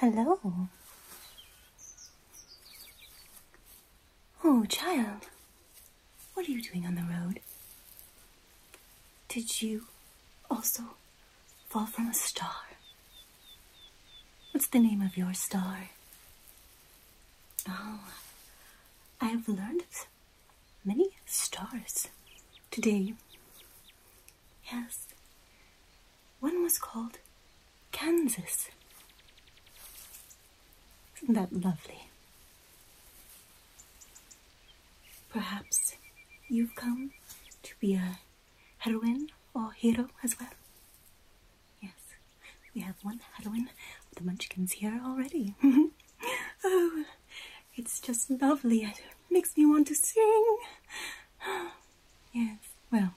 Hello. Oh, child, what are you doing on the road? Did you also fall from a star? What's the name of your star? Oh, I've learned many stars today. Yes, one was called Kansas. Isn't that lovely? Perhaps you've come to be a heroine or hero as well? Yes, we have one heroine of the Munchkins here already. oh, it's just lovely. It makes me want to sing. yes, well.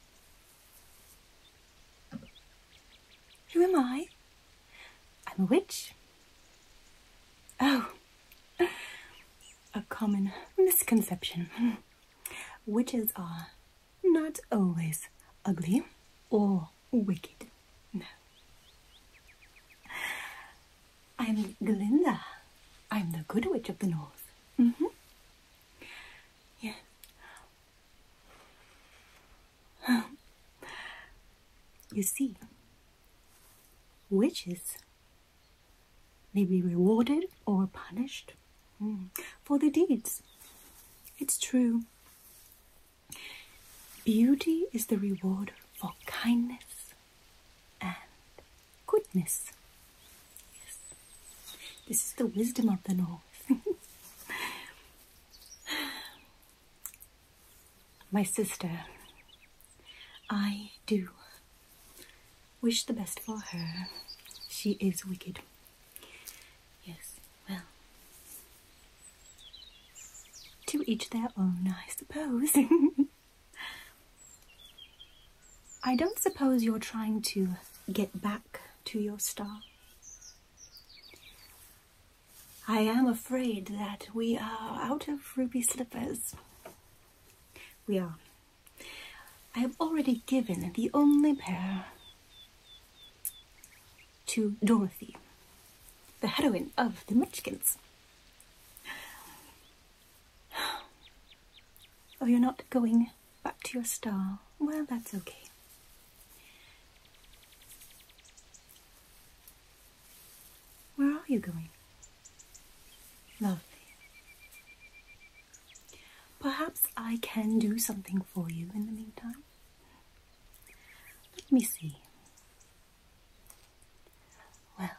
Who am I? I'm a witch. Oh, a common misconception. Witches are not always ugly or wicked. No. I'm Galinda. I'm the good witch of the north. Mm -hmm. Yes. Oh. You see, witches may be rewarded or punished mm, for their deeds. It's true. Beauty is the reward for kindness and goodness. This is the wisdom of the north. My sister, I do wish the best for her. She is wicked. Yes, well, to each their own, I suppose. I don't suppose you're trying to get back to your star. I am afraid that we are out of ruby slippers. We are. I have already given the only pair to Dorothy, the heroine of the Munchkins. Oh, you're not going back to your star. Well, that's okay. Where are you going? Lovely. Perhaps I can do something for you in the meantime. Let me see. Well,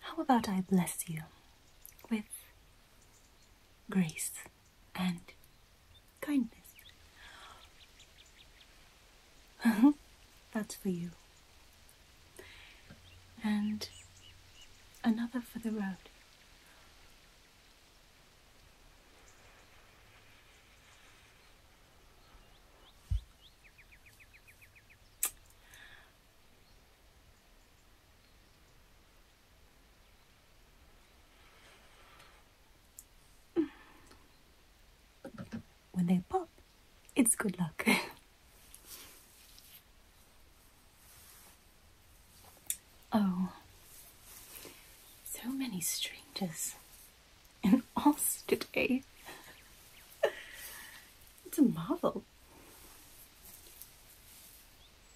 how about I bless you with grace and kindness? That's for you. And another for the road when they pop, it's good luck. oh, so many strangers, in us today. Eh? it's a marvel.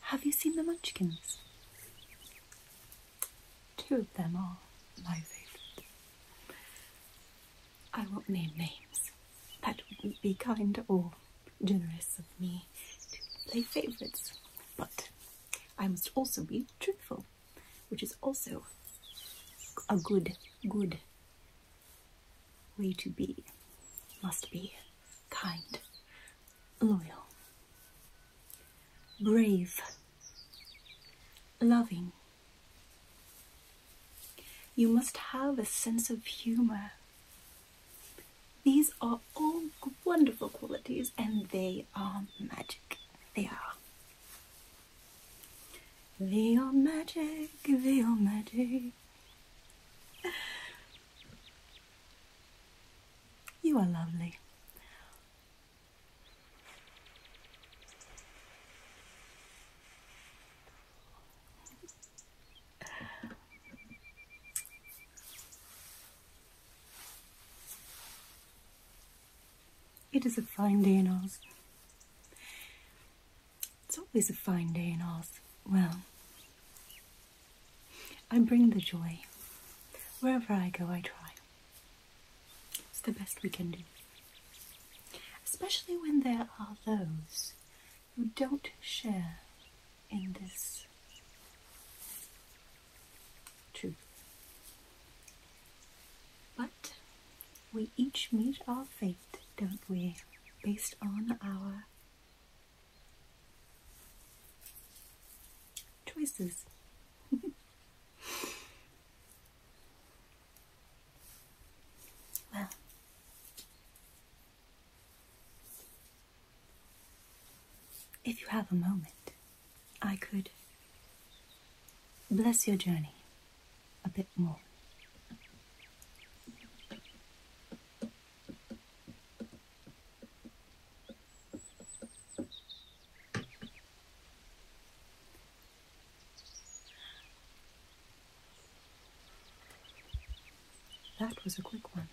Have you seen the Munchkins? Two of them are my favorites. I won't name names. That wouldn't be kind or generous of me to play favourites. But I must also be truthful, which is also a good, good way to be. Must be kind, loyal, brave, loving. You must have a sense of humor. These are all wonderful qualities and they are magic. They are. They are magic, they are magic. You are lovely. It is a fine day in Oz. It's always a fine day in Oz. Well, I bring the joy. Wherever I go, I try. It's the best we can do. Especially when there are those who don't share in this truth. But we each meet our fate, don't we? Based on our choices. Well, if you have a moment, I could bless your journey a bit more. That was a quick one.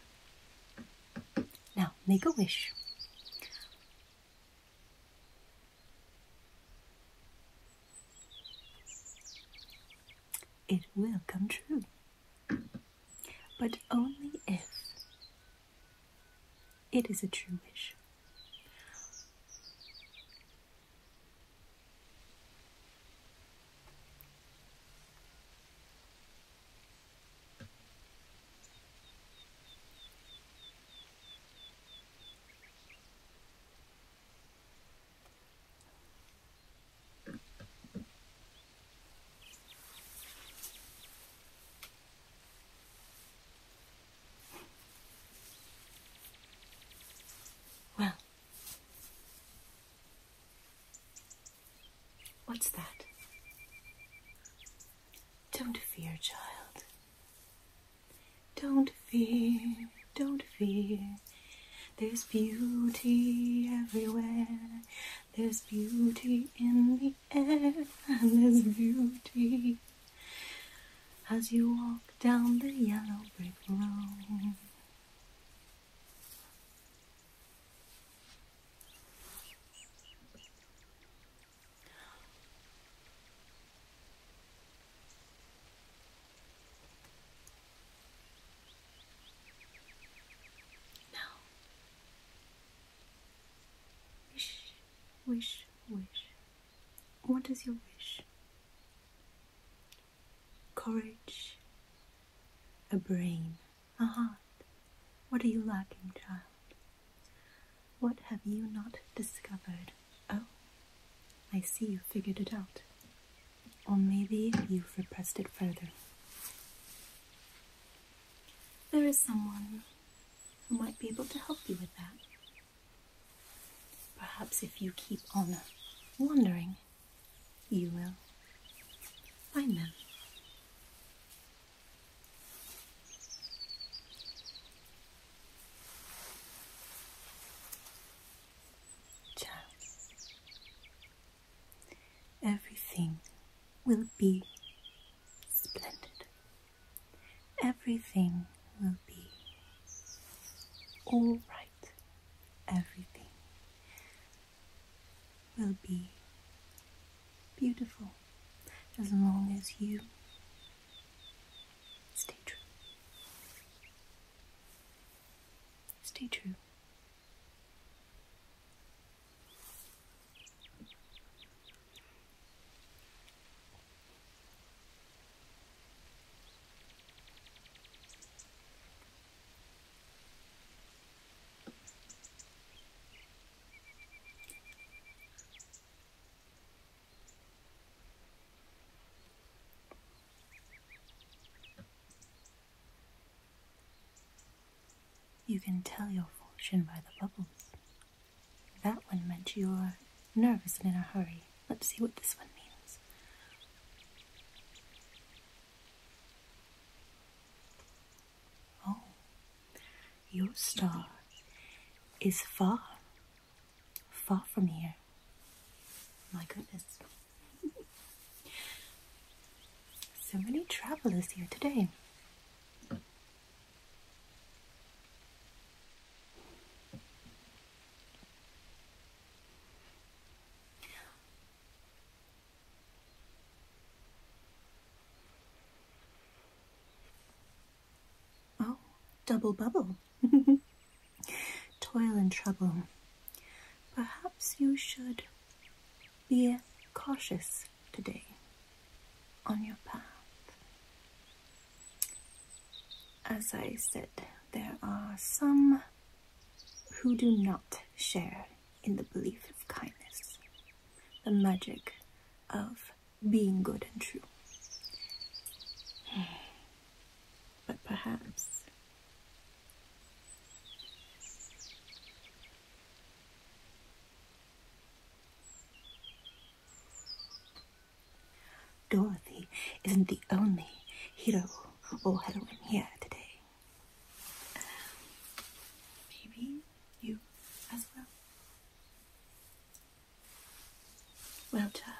Now, make a wish. It will come true, but only if it is a true wish. Well, what's that? Don't fear, child. Don't fear, don't fear. There's beauty everywhere. There's beauty in the air, and there's beauty as you walk down the yellow brick road. Now, wish, wish, wish. What is your wish? Courage, a brain, a heart. What are you lacking, child? What have you not discovered? Oh, I see you figured it out. Or maybe you've repressed it further. There is someone who might be able to help you with that. Perhaps if you keep on wandering, you will find them. Child, everything will be splendid. Everything will be all right. Everything will be beautiful as long as you stay true. Stay true. You can tell your fortune by the bubbles. That one meant you are nervous and in a hurry. Let's see what this one means. Oh, your star is far, far from here. My goodness. So many travelers here today. Oh, double bubble. Toil and trouble. Perhaps you should be cautious today on your path. As I said, there are some who do not share in the belief of kindness, the magic of being good and true. But perhaps Dorothy isn't the only hero or heroine here today. Maybe you as well. Well, child,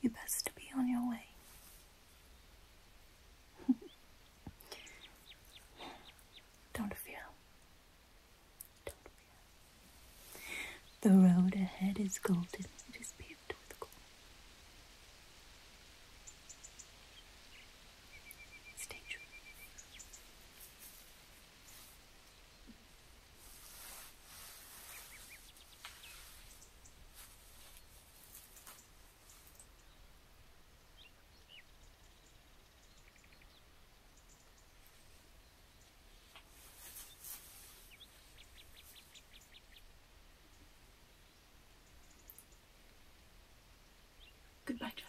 you best be on your way. Don't fear. The road ahead is golden. It is paved with gold. Stay true. Goodbye, child.